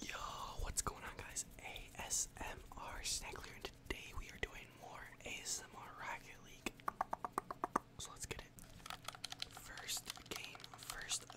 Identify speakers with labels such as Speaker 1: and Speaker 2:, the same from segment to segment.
Speaker 1: Yo, what's going on guys? ASMR Snackler and today we are doing more ASMR Rocket League. So let's get it. First game, first game.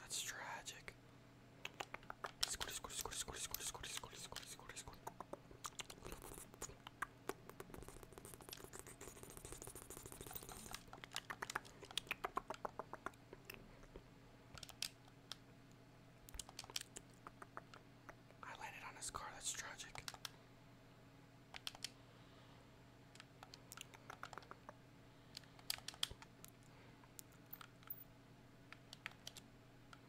Speaker 1: That's tragic. I landed on his car, that's tragic.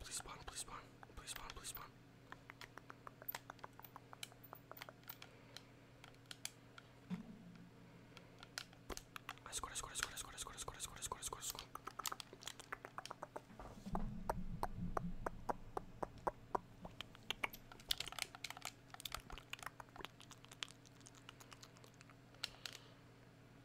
Speaker 1: Please spawn, please spawn, please spawn, please spawn. I scored, I scored, I scored, I scored, I scored, I scored, I scored, I scored, I scored, I scored.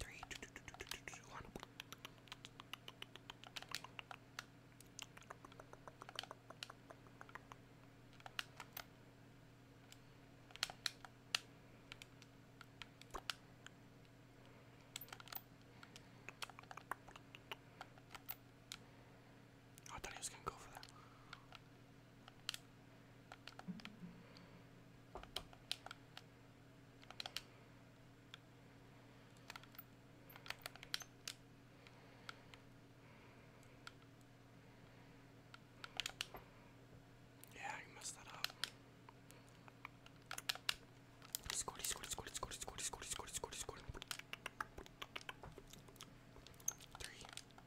Speaker 1: Three, two, two, two, two, two, two, two, one. I thought he was gonna go for that. Yeah, you messed that up. He scored, he scored, he scored, he scored, he Three,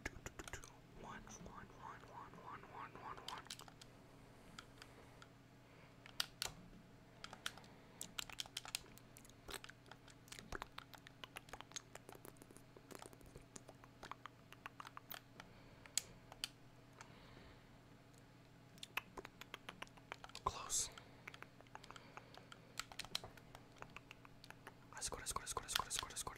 Speaker 1: Two, two, two, two. One, one, one, one, one, one, one, one. Close. I scored, I scored, I scored, I scored, I scored, I scored.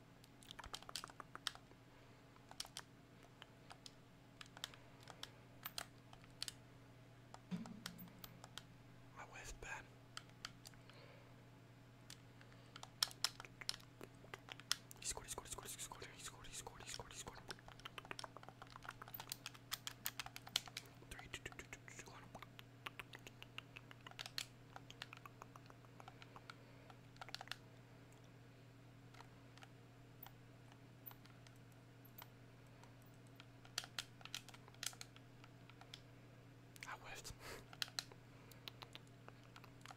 Speaker 1: My wife's bad. He scored, he scored, he scored, he scored, he scored, he scored, he scored, he scored. Three, two, two, two, two, two, one. I whiffed.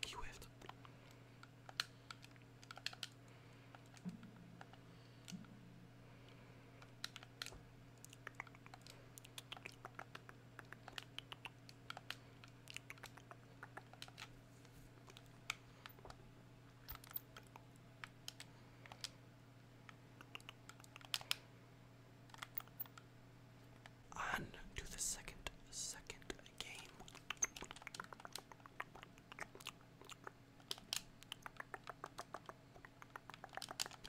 Speaker 1: he whiffed. On to the second, second game.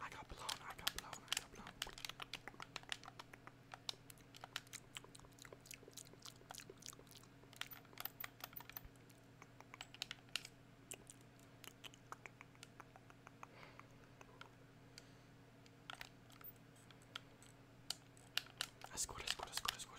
Speaker 1: I got blown, I got blown, I got blown. I scored, I scored, I scored, I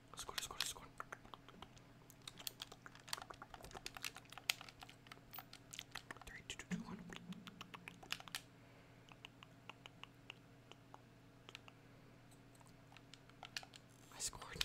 Speaker 1: Skål, skål, skål. Three, two, two, two, one. I scored.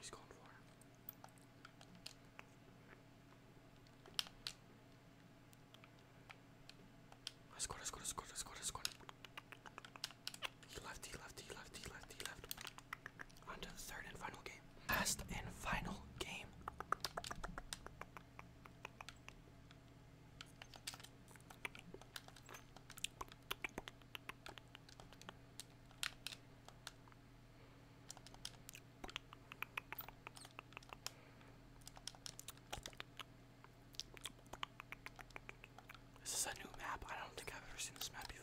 Speaker 1: He's going for it. I scored, I scored, I scored, I scored, I scored. He left, he left, he left, he left, he left. On to the third and final game. Last and final game. This is a new map. I don't think I've ever seen this map before.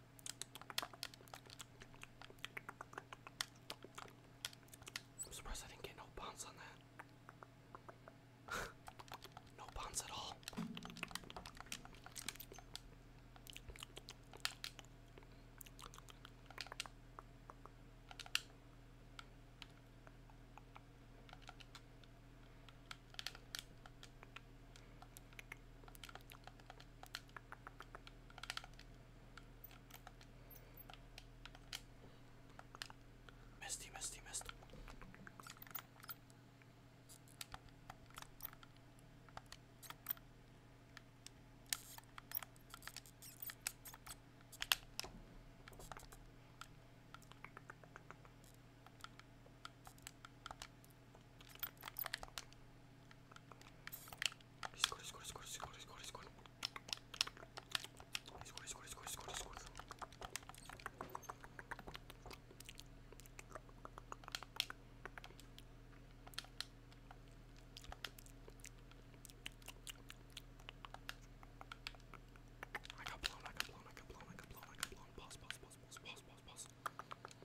Speaker 1: I'm surprised I didn't get no bounce on that. no bounce at all. Misty, misty, misty. He scored, he scored, he scored, he scored, he scored, he scored. He scored, he scored, he scored, he scored, he scored. I got blown, I got blown, I got blown, I got blown, I got blown. Pause, pause, pause, pause, pause, pause, pause.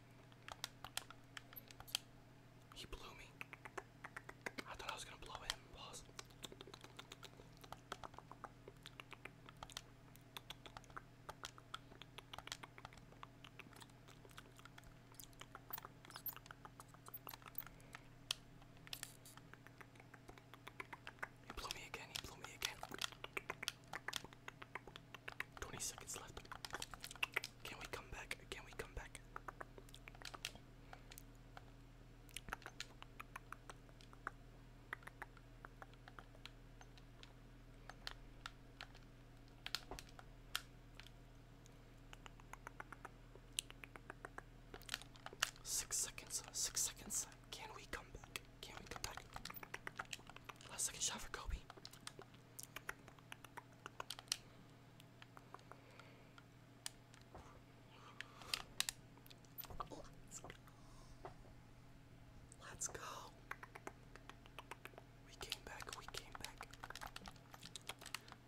Speaker 1: He blew me. I thought I was gonna blow him. Pause. He blew me again, he blew me again. 20 seconds left. Can we come back? Can we come back? Six seconds, six seconds. Can we come back? Can we come back? Last second shot for Kobe. Let's go. We came back. We came back.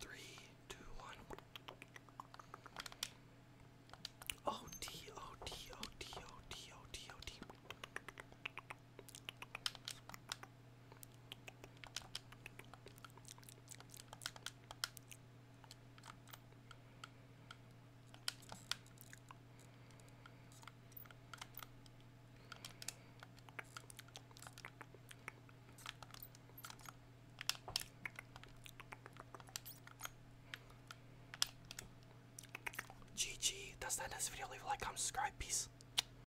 Speaker 1: Three, two, one. O T O T O T O T O T O T. GG, does that is really like i subscribe peace.